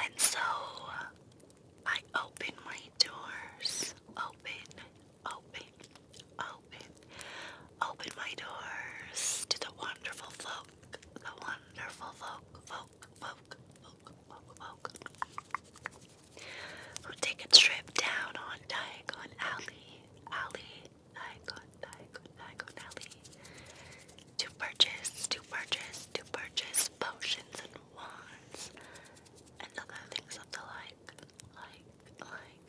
And so I open my doors. Open, open, open, open my doors to the wonderful folk, the wonderful folk, folk, folk, folk, folk, folk. Who take a trip down on Diagon Alley, Alley, Diagon, Diagon, Diagon Alley to purchase, to purchase, to purchase potions and wands and other things of the like, like, like.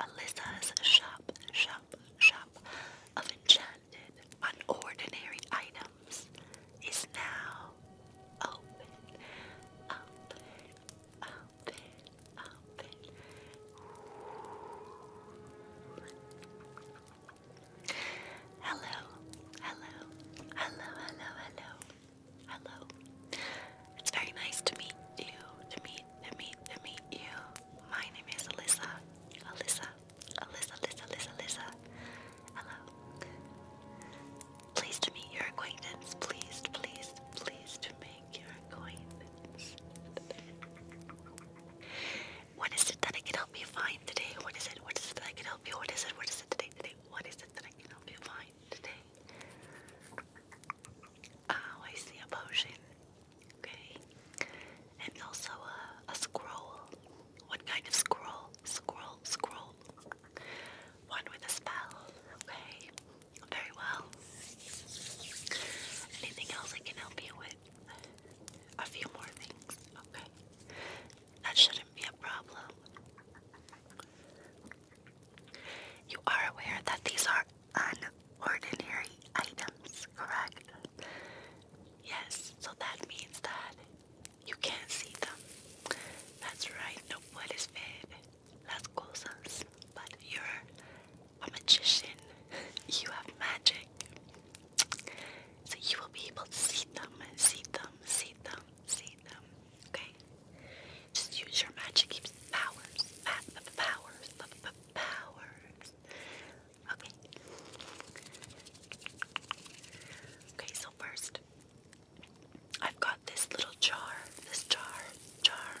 Alyssa's shop, shop, shop of enchanted, unordinary items is now open, Hello, hello, hello, hello, hello, hello. It's very nice to meet you, to meet, to meet, to meet you. My name is Alyssa, Alyssa, Alyssa, Alyssa, Alyssa, Hello. Pleased to meet your acquaintance. Please, pleased, please to meet make your acquaintance. What is it that I can help you find today? What is it? What is it that I can help you? What is it? What is it today? Today? What is it that I can help you find today? Oh, I see a potion. Okay. And also a, a scroll. What kind of scroll? Scroll, scroll. One with a spell. Okay. Very well. Anything else I can help you with? A few more things. Okay. That shouldn't be a problem. You are aware that these are unordinary items, correct? Yes, so that means that you can't see them. That's right, no wood is fed las cosas, but you're a magician. You have magic. So you will be able to see them, see them, see them, see them. Okay? Just use your magic powers. Powers. Powers. Okay. Okay, so first, I've got this little jar. This jar. Jar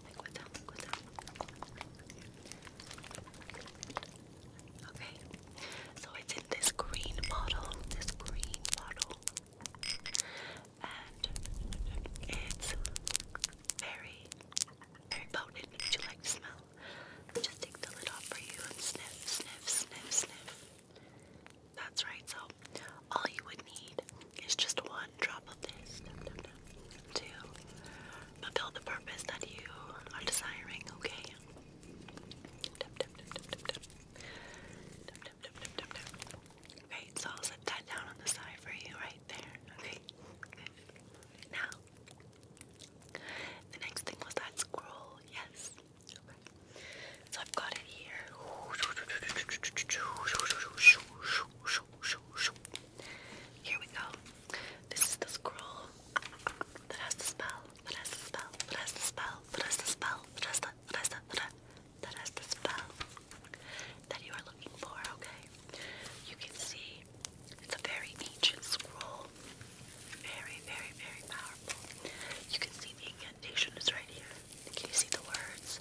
Okay, so it's in this green bottle, this green bottle, and it's very, very potent. Would like smell? Just take the lid off for you and sniff, sniff, sniff, sniff. That's right, so all you would need it's just one drop of this to fulfill the purpose that you are desiring, okay? Right, so I'll set that down on the side for you right there, okay? Good. Now, the next thing was that scroll, yes. So I've got it here. Here we go. This is the scroll that has the spell, that has the spell, that has the spell, that has the spell, that has the, that has the, that has the spell that you are looking for, okay? You can see it's a very ancient scroll. Very, very, very powerful. You can see the incantation is right here. Can you see the words?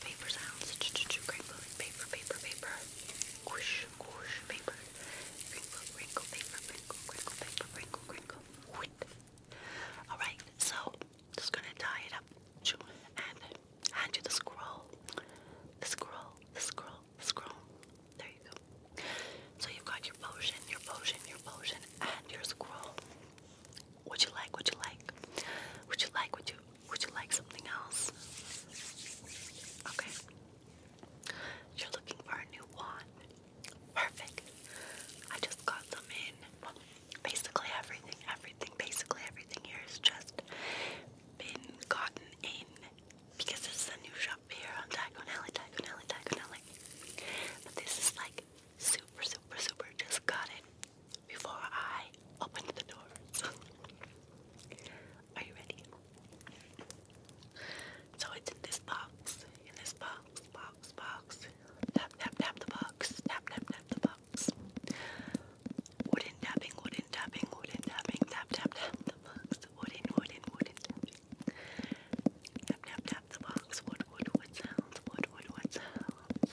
Paper sounds. Ch -ch -ch great paper, paper, paper. Whoosh, whoosh, paper. Wrinkle, wrinkle, paper, wrinkle, wrinkle, paper, wrinkle, wrinkle. Alright, so just gonna tie it up and hand you the scroll. The scroll, the scroll, scroll. There you go. So you've got your potion, your potion, your potion, and your scroll. Would you like? Would you like? Would you like? Would you would you like something else? Okay. You're looking for a new wand. Perfect. I just got them in. Well, basically everything, everything, basically everything here just been gotten in because this is new shop here on Diagon Alley, Diagon But this is like super, super, super just got it before I open the door. Are you ready? So it's in this box. In this box, box, box. Tap, tap, tap the box. Tap, tap, tap the box. Wooden tapping, wooden tapping, wooden tapping. Tap, tap, tap the box. Wooden, wooden, wooden Tap, tap, tap the box. Wood, wood, wood sounds. Wood, wood, wood sounds.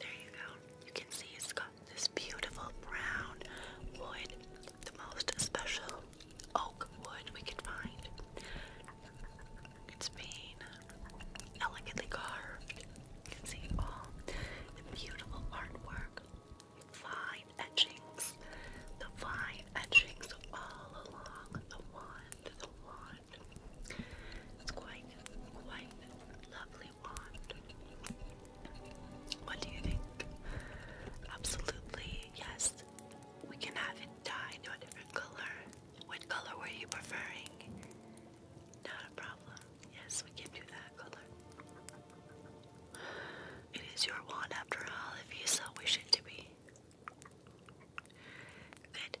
there you go. You can see it's got this beautiful brown wood, the most special oak wood we could find. It's been elegantly carved. You can see all the beautiful artwork, fine etchings, the fine etchings all along the wand, the wand. It's quite, quite lovely what do you think? Absolutely, yes. We can have it dyed a different color. What color were you preferring? Not a problem. Yes, we can do that color. It is your wand after all, if you so wish it to be. Good.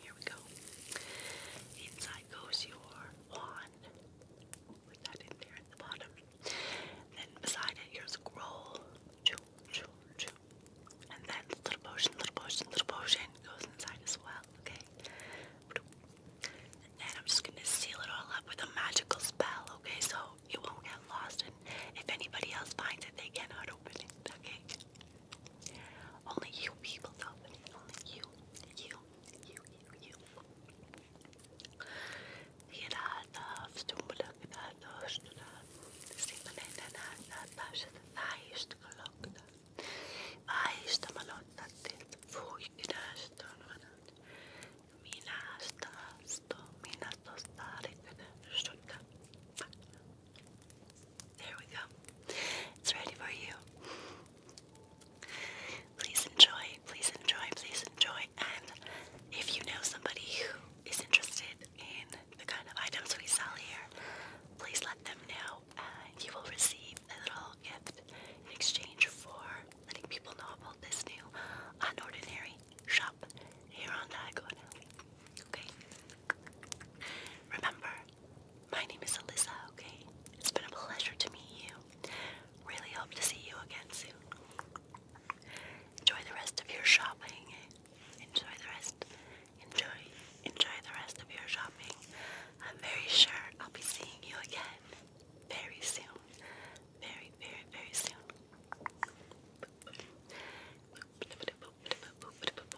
Here we go. Inside goes your wand. Put that in there at the bottom. Then beside it, your scroll. Choo, choo, choo. And then little potion, little potion, little potion goes inside as well, okay? And then I'm just gonna seal it all up with a magical spell, okay? So it won't get lost, and if anybody else finds it, they cannot open it, okay? Only you people Only you, you, you, you, you. There we go. It's ready for you. Please enjoy, please enjoy, please enjoy. And if you know somebody who is interested in the kind of items we sell here, please let them know. you will receive a little gift in exchange for letting people know about this new unordinary shop here on Diagonal. Okay? Remember, my name is Alyssa, okay? It's been a pleasure to meet you. Really hope to see you again soon. Enjoy the rest of your shopping. Enjoy the rest. Enjoy. Enjoy the rest of your shopping. I'm very sure I'll be seeing you again very soon. Very, very, very soon.